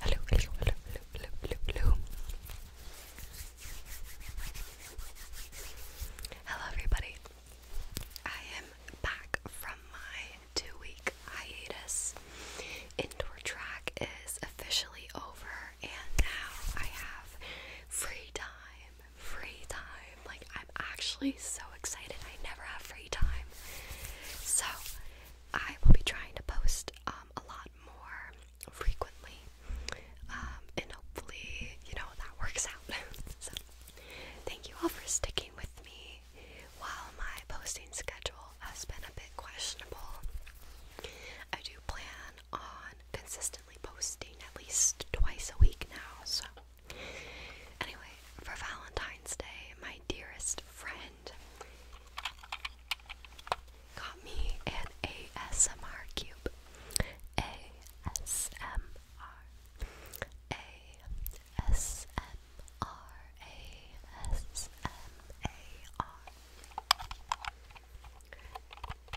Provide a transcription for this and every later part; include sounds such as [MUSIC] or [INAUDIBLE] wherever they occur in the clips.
Hello, hello, hello, hello, hello, hello. Hello, everybody. I am back from my two week hiatus. Indoor track is officially over, and now I have free time. Free time. Like, I'm actually so excited. I never have free time. So I will be trying to post um, a lot more frequently. Um, and hopefully, you know, that works out. [LAUGHS] so thank you all for sticking with me while my posting schedule has been a bit questionable. I do plan on consistently posting at least twice a week now, so Anyway, for Valentine's Day, my dearest friend got me an ASMR cube. ASMR. ASMR. ASMR.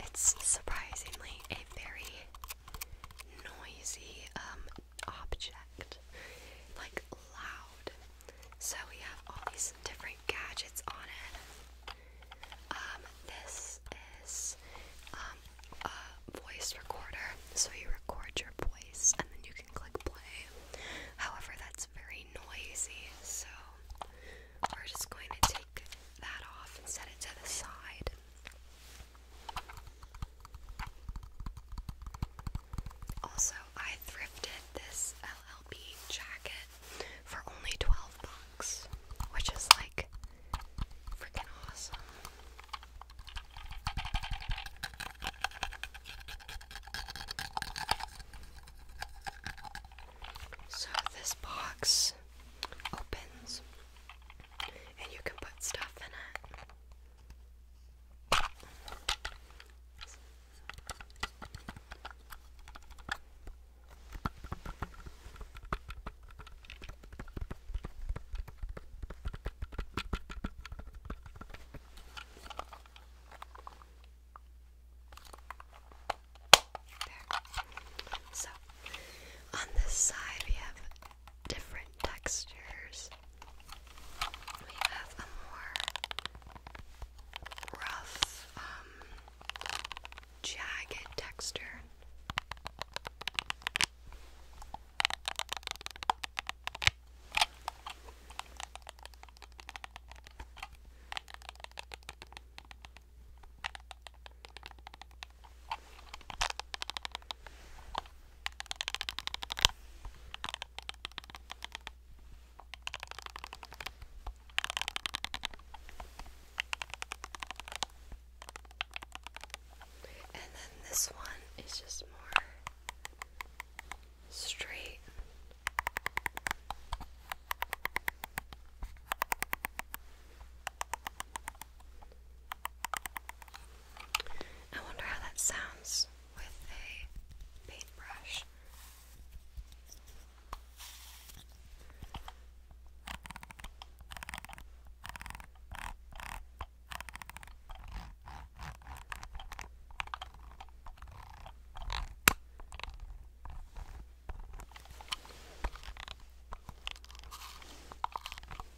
It's surprisingly a very noisy um object, like loud. So we have all these different gadgets on it. Um, this is um, a voice recorder, so you record your voice and then you can click play. However, that's very noisy, so we're just going to take that off and set it to the side. Also, I thrifted this LLB jacket for only 12 bucks, which is like freaking awesome. So this box opens and you can put stuff in it. There. So on this side we have different textures. We have a more rough, um, jagged texture. And then this one is just more straight. I wonder how that sounds with a paintbrush.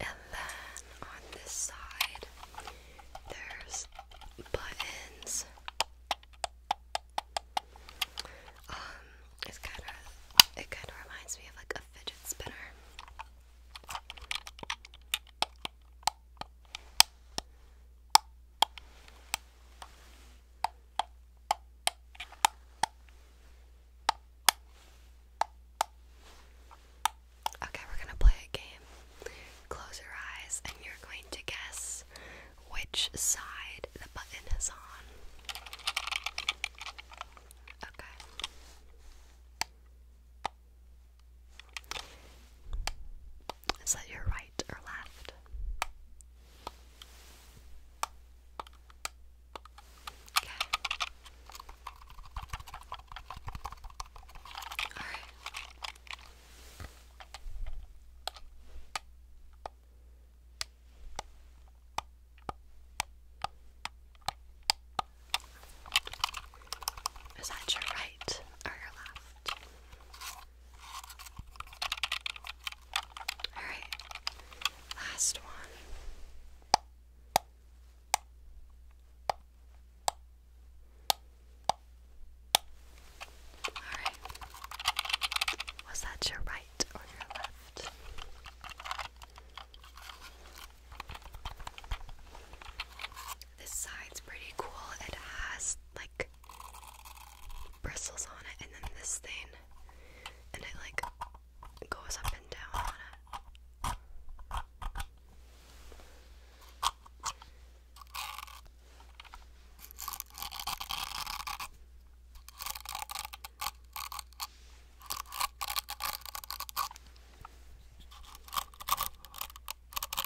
And then on this side, there's buttons. Um, it's kind of it kind of reminds me of like a fidget spinner. Okay, we're gonna play a game. Close your eyes, and you're going to guess which side the button is on. Okay. Is that your right is that your right or your left? Alright, last one. Alright, was that your right or your left? This side's pretty cool. It has like bristles on it, and then this thing, and it like goes up and down on it.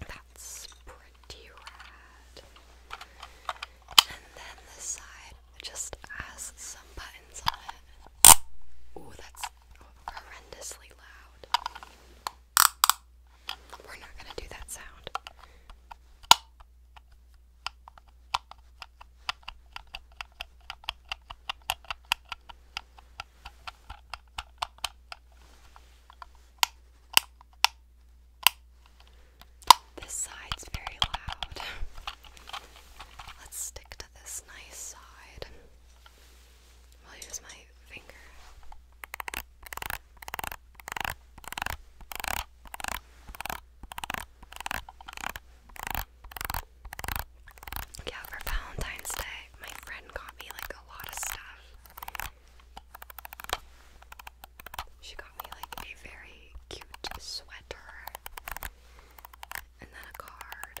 That's pretty rad. And then this side just has some buttons on it. Ooh, that's horrendously loud. We're not going to do that sound. This side's very loud. [LAUGHS] Let's stick to this nice side. I'll use my finger. Yeah, for Valentine's Day, my friend got me like a lot of stuff. She got me like a very cute sweater and then a card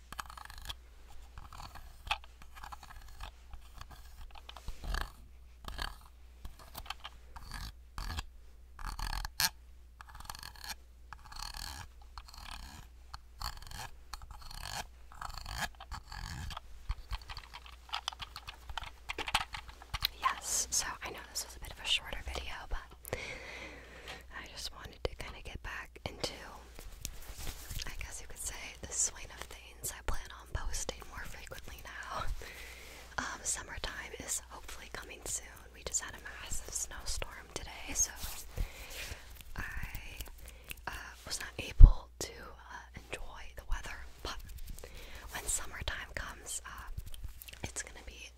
Yes, so I know this was a bit of a shorter video, but I just wanted wanted to kind of get back into, I guess you could say, the swing of things. I plan on posting more frequently now. [LAUGHS] Um, summertime is hopefully coming soon. We just had a massive snowstorm today, so I uh, was not able to uh, enjoy the weather. But when summertime comes, uh, it's gonna be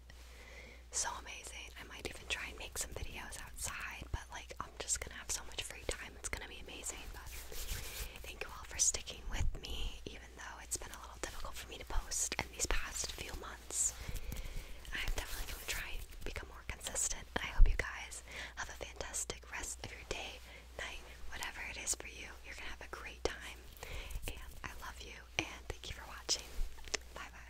so amazing. I might even try and make some videos outside, but like I'm just gonna have so much free time. It's gonna be amazing. But thank you all for sticking with me, even though it's been a little difficult for me to post in these past few months. I'm definitely gonna try and become more consistent. And I hope you guys have a fantastic rest of your day, night, whatever it is for you. You're gonna have a great time. And I love you and thank you for watching. Bye bye.